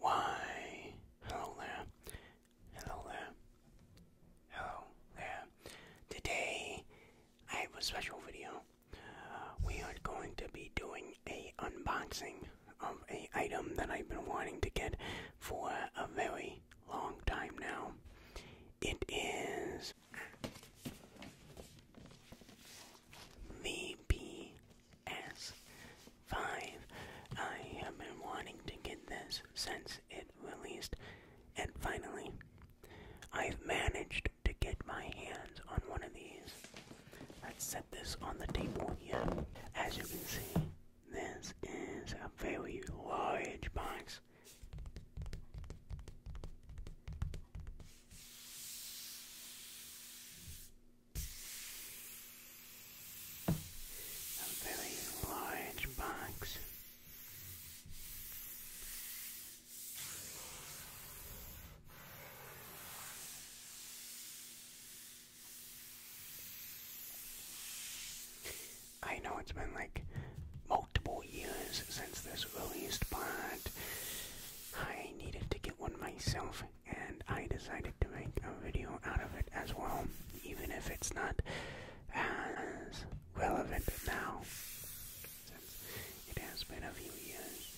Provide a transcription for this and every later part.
Why? Hello there. Hello there. Hello there. Today I have a special video. Uh, we are going to be doing a unboxing of a item that I've been wanting to get for a very long time now. It is the P PS5. I have been wanting to get this since it released, and finally, I've managed to get my hands on one of these. Let's set this on the table here. As you can see, this is a very large box a very large box. I know it's been like multiple years since this released, but I needed to get one myself and I decided to make a video out of it as well, even if it's not as relevant now, since it has been a few years.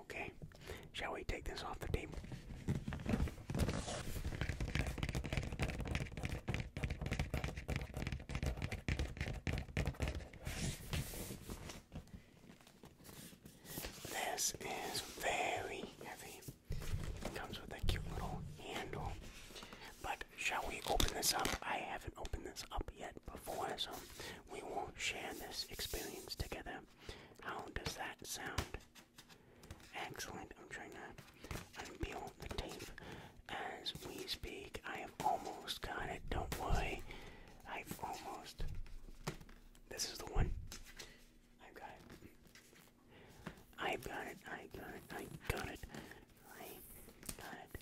Okay, shall we take this off the table? This is very heavy. comes with a cute little handle. But shall we open this up? I haven't opened this up yet before, so we will not share this experience together. How does that sound? Excellent. I'm trying to unpeel the tape as we speak. I have almost got it. Don't worry. I've almost. This is the one. I've got it. I've got it. I got it. I got it. I got it.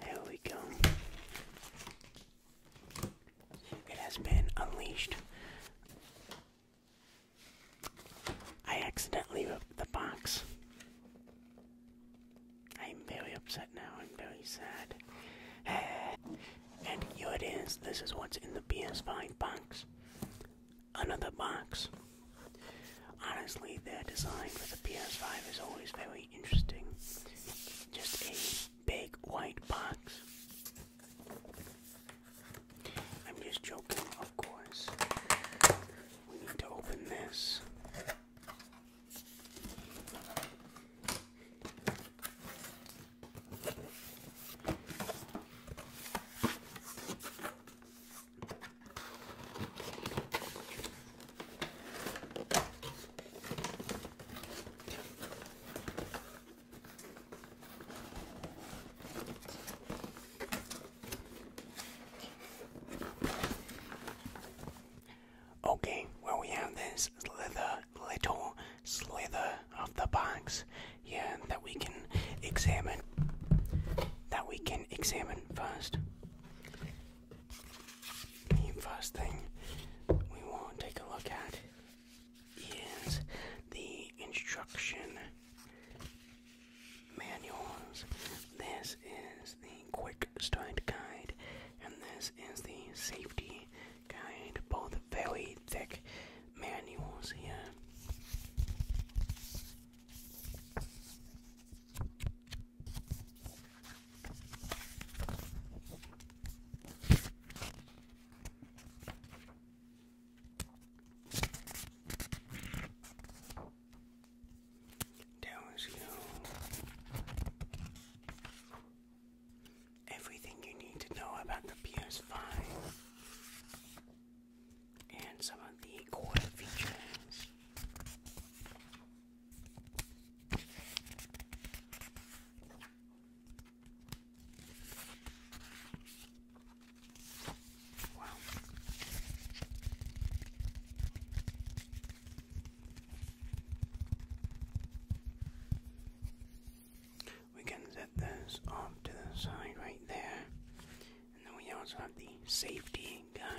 There we go. It has been unleashed. I accidentally ripped the box. I'm very upset now. I'm very sad. and here it is. This is what's in the PS5 box. Another box. Honestly, their design for the PS5 is always very interesting. Just a big white box. I'm just joking, of course. We need to open this. Okay, well we have this lither, little slither of the box here that we can examine. That we can examine first. The first thing we want to take a look at is the instruction manuals. This is the quick start guide, and this is the safety guide. Both very thick manuals here tells you everything you need to know about the PS5 and some of the core features. Wow. We can set this off to the side right there. And then we also have the safety guide.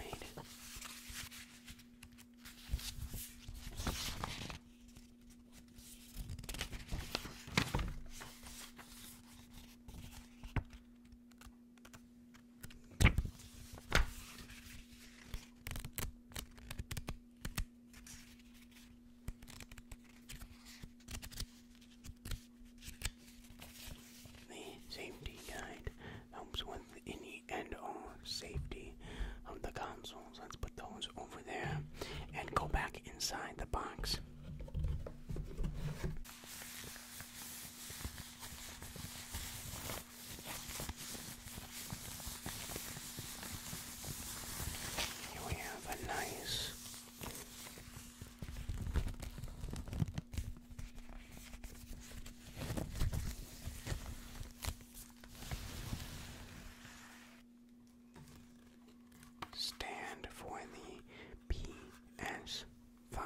The safety guide helps with any end or safety of the consoles. Let's put those over there and go back inside the box we have a nice stand for the PS5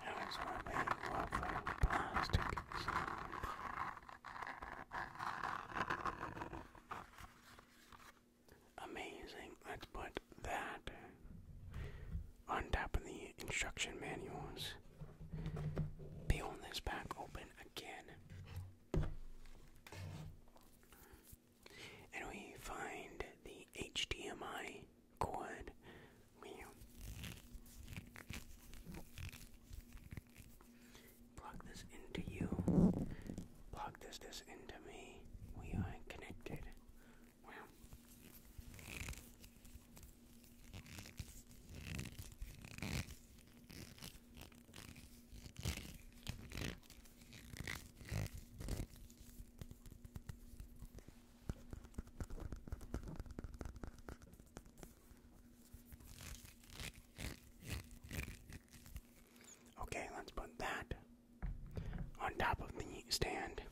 Here's my big lovely plastic sound. Amazing. Let's put that on top of the instruction manuals. Peel this back open again. And we find the HDMI good meal. Plug this into you. Plug this this into me. We are connected. Okay, let's put that on top of the stand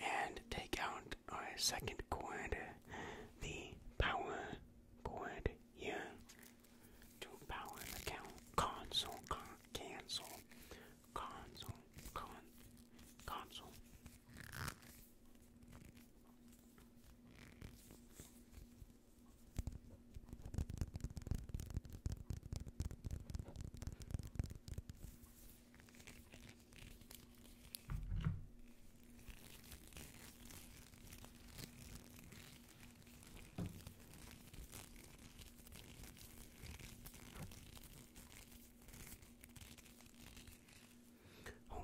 and take out our second cord, the power cord here, to power the console. Cancel console, con, console.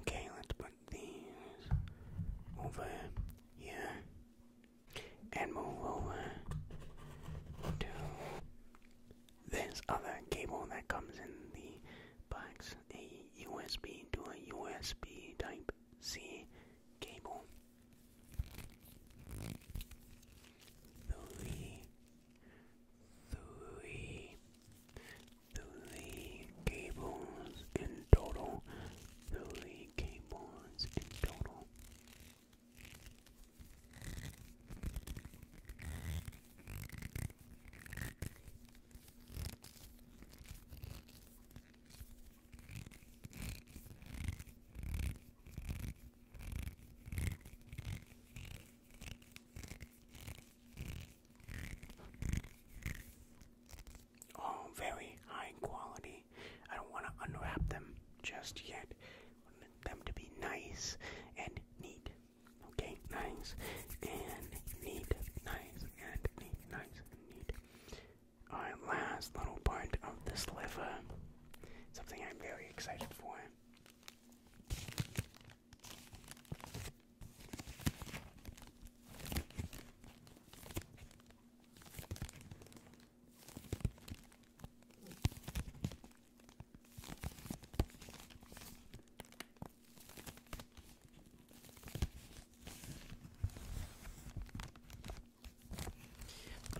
Okay, let's put these over here and move over to this other cable that comes in the box a USB to a USB type C cable. Three three, three cables in total, three cables in total. Oh, very high quality. I don't want to unwrap them just yet. want them to be nice and neat. Okay, nice and neat, nice and neat, nice and neat. Alright, last little part of this liver. Something I'm very excited for.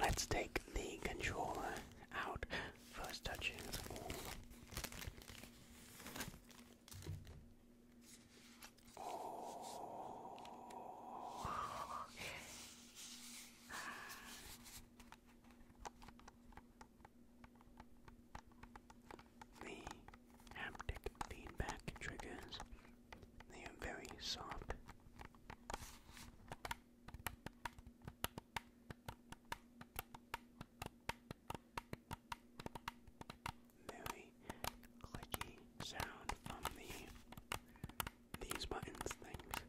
Let's take the controller out. First Touching. is warm. Oh. The haptic feedback triggers, they are very soft very clicky sound from the these buttons things.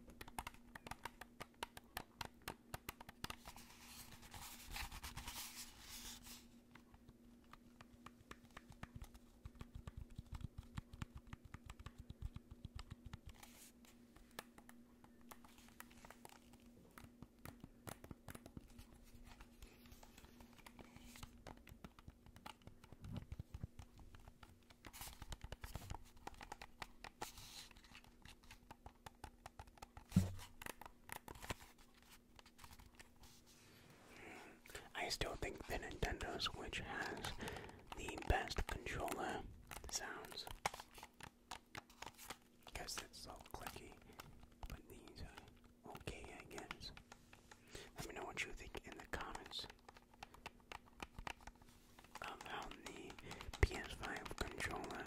I still think the Nintendo Switch has the best controller sounds. Guess that's all clicky, but these are uh, okay, I guess. Let me know what you think in the comments of the PS5 controller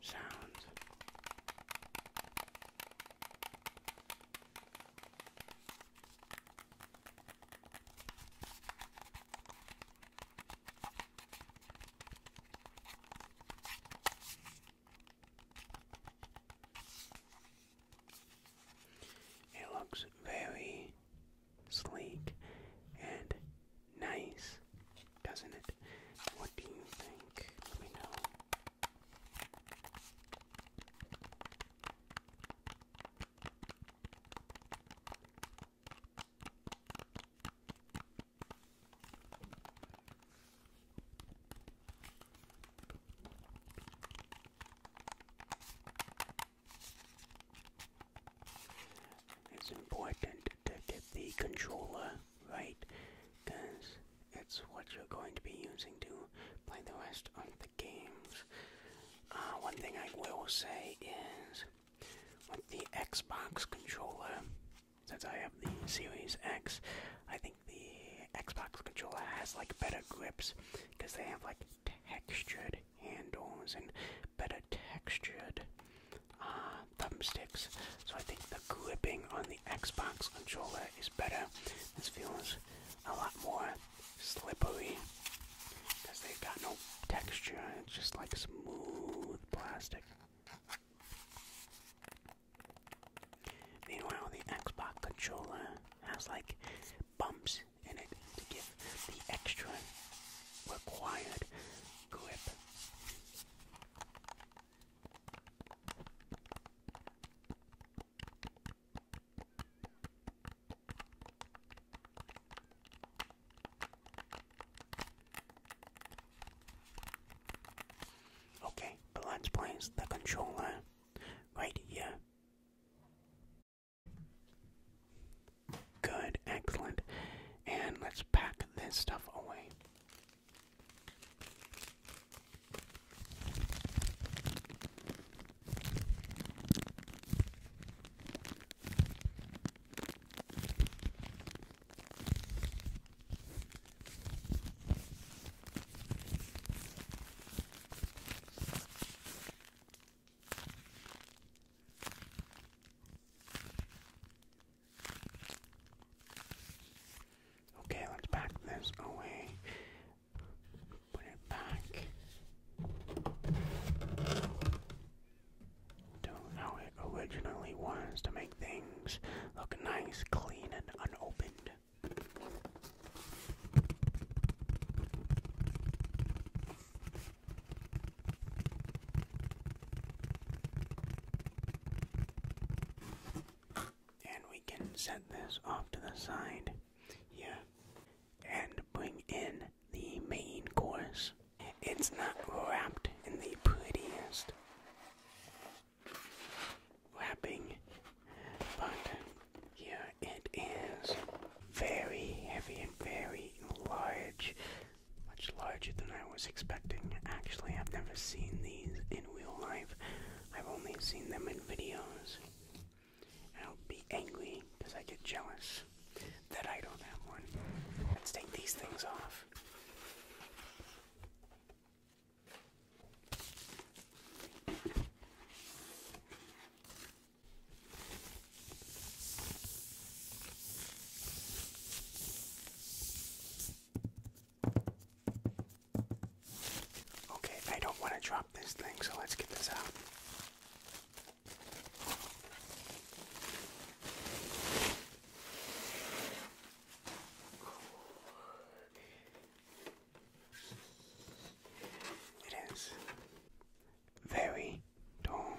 sounds. It looks very sleek and nice, doesn't it? What do you think? It's important to get the controller right because it's what you're going to be using to play the rest of the games. Uh, one thing I will say is with the Xbox controller, since I have the Series X, I think the Xbox controller has like better grips because they have like textured handles and better textured uh, thumbsticks. So I think the gripping on the Xbox controller is better. This feels a lot more slippery because they've got no texture. It's just like smooth plastic. Meanwhile, the Xbox controller has like bumps in it to give the extra required grip. Okay, but let's place the controller right here. Good, excellent. And let's pack this stuff away. Okay, let's back this away. Put it back to how it originally was to make things look nice, clean, and unopened. And we can set this off to the side here and bring in the main course. It's not wrapped in the prettiest wrapping, but here it is very heavy and very large. Much larger than I was expecting. Actually, I've never seen these in real life, I've only seen them in videos. I'll be angry because I get jealous that I don't have one. Let's take these things off. Okay, I don't want to drop this thing, so let's get this out. It is very tall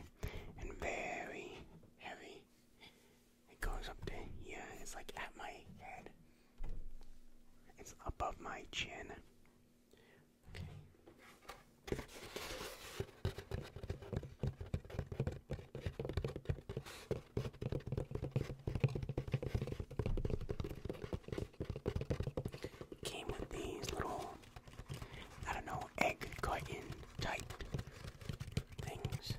and very heavy. It goes up to here, it's like at my head. It's above my chin. Came with these little, I don't know, egg carton type things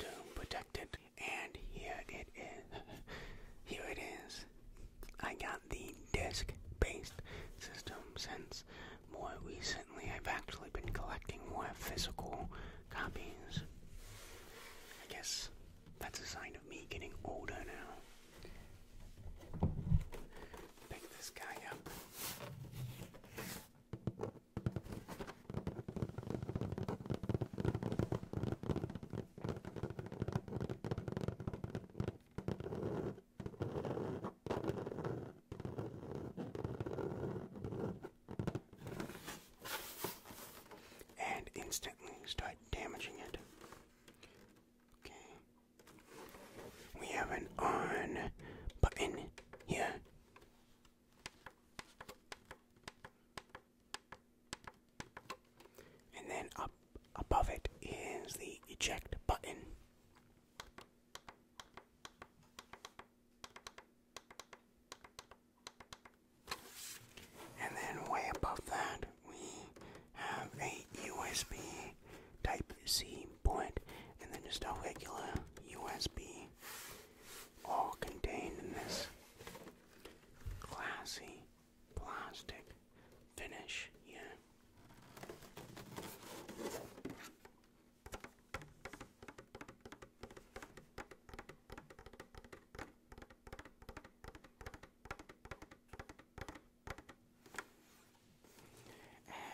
to protect it. And here it is. Here it is. I got the disc based system since more recently, I've actually been collecting more physical copies. I guess that's a sign of me getting older now. Pick this guy up and instantly start damaging it. Okay. We have an on button here. And then up above it is the eject button. And then way above that, we have a USB Type C port, and then just a regular USB, all contained in this classy plastic finish here.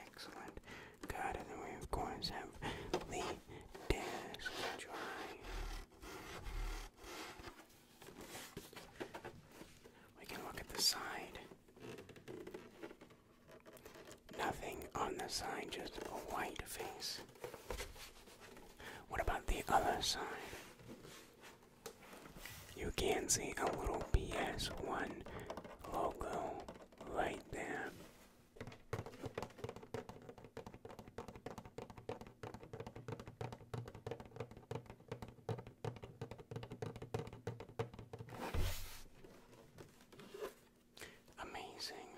Excellent. Good, and then we of course have the desk drive. We can look at the side. Nothing on the side, just a white face. What about the other side? You can see a little PS1 logo right there. Amazing.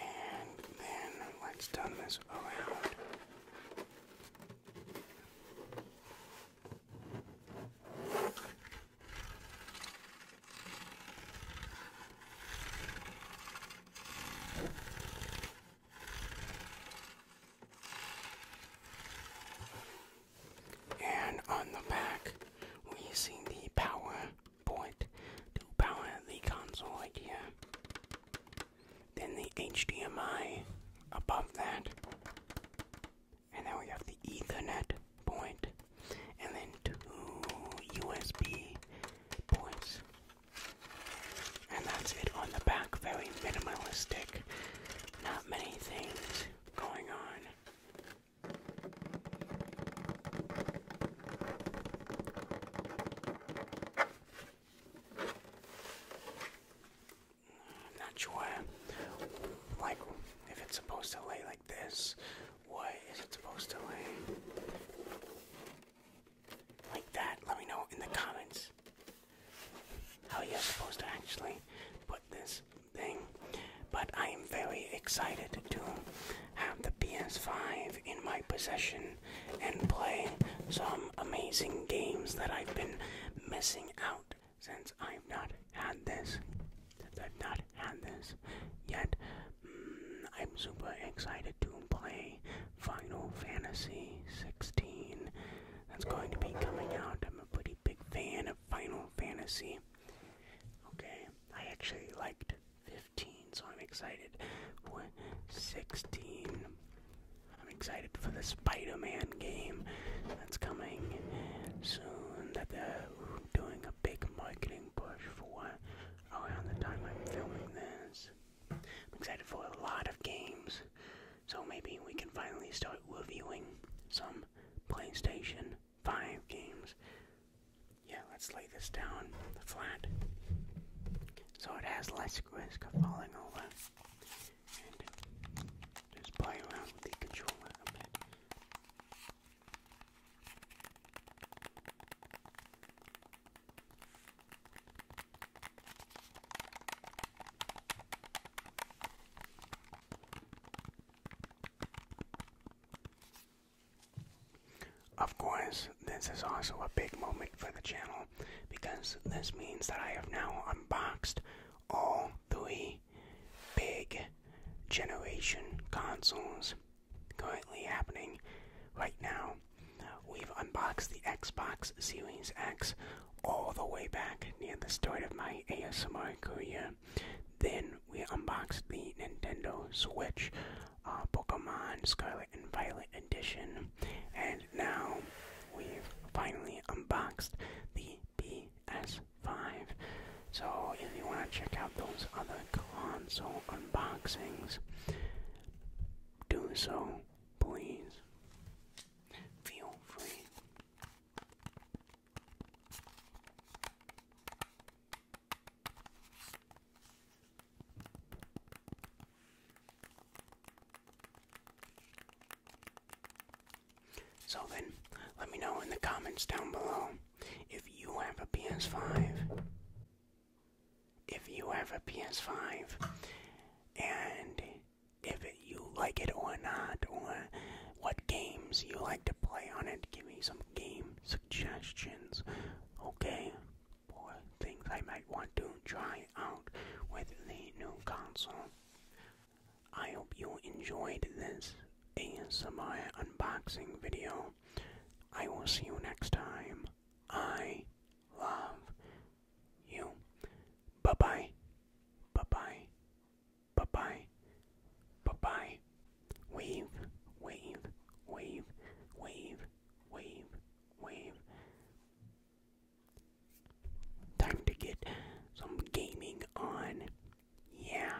And then let's turn this around. And on the back, we see the power point to power the console right here. Then the HDMI above that. And then we have the Ethernet And then two USB points. And that's it on the back. Very minimalistic. Not many things going on not sure, like, if it's supposed to lay like this. What is it supposed to lay? Like that? Let me know in the comments how you're supposed to actually put this thing, but I am very excited to have the PS5 in my possession and play some amazing games that I've been missing out since I've not had this. I've not had this yet. Mm, I'm super excited to play Final Fantasy 16. That's going to be coming out. I'm a pretty big fan of Final Fantasy. Okay, I actually liked 15, so I'm excited. 16. I'm excited for the Spider-Man game that's coming soon. That they're doing a big marketing push for around the time I'm filming this. I'm excited for a lot of games, so maybe we can finally start reviewing some PlayStation five games. Yeah, let's lay this down flat so it has less risk of falling over. just play around with the controller a bit. Of course, this is also a big moment for the channel because this means that I have now unboxed all three big generation consoles currently happening right now. We've unboxed the Xbox Series X all the way back near the start of my ASMR career. Then we unboxed the Nintendo Switch uh, Pokemon Scarlet and Violet edition, and now we've finally unboxed the PS5. So, if you want to check out those other console unboxings, do so, please. Feel free. So then, let me know in the comments down below if you have a PS5. If you have a PS5 and if you like it or not, or what games you like to play on it, give me some game suggestions, okay? Or things I might want to try out with the new console. I hope you enjoyed this ASMR unboxing video. I will see you next time. I love you. Bye bye. Bye bye. Bye bye. Bye bye. Wave, wave, wave, wave, wave, wave. Time to get some gaming on. Yeah.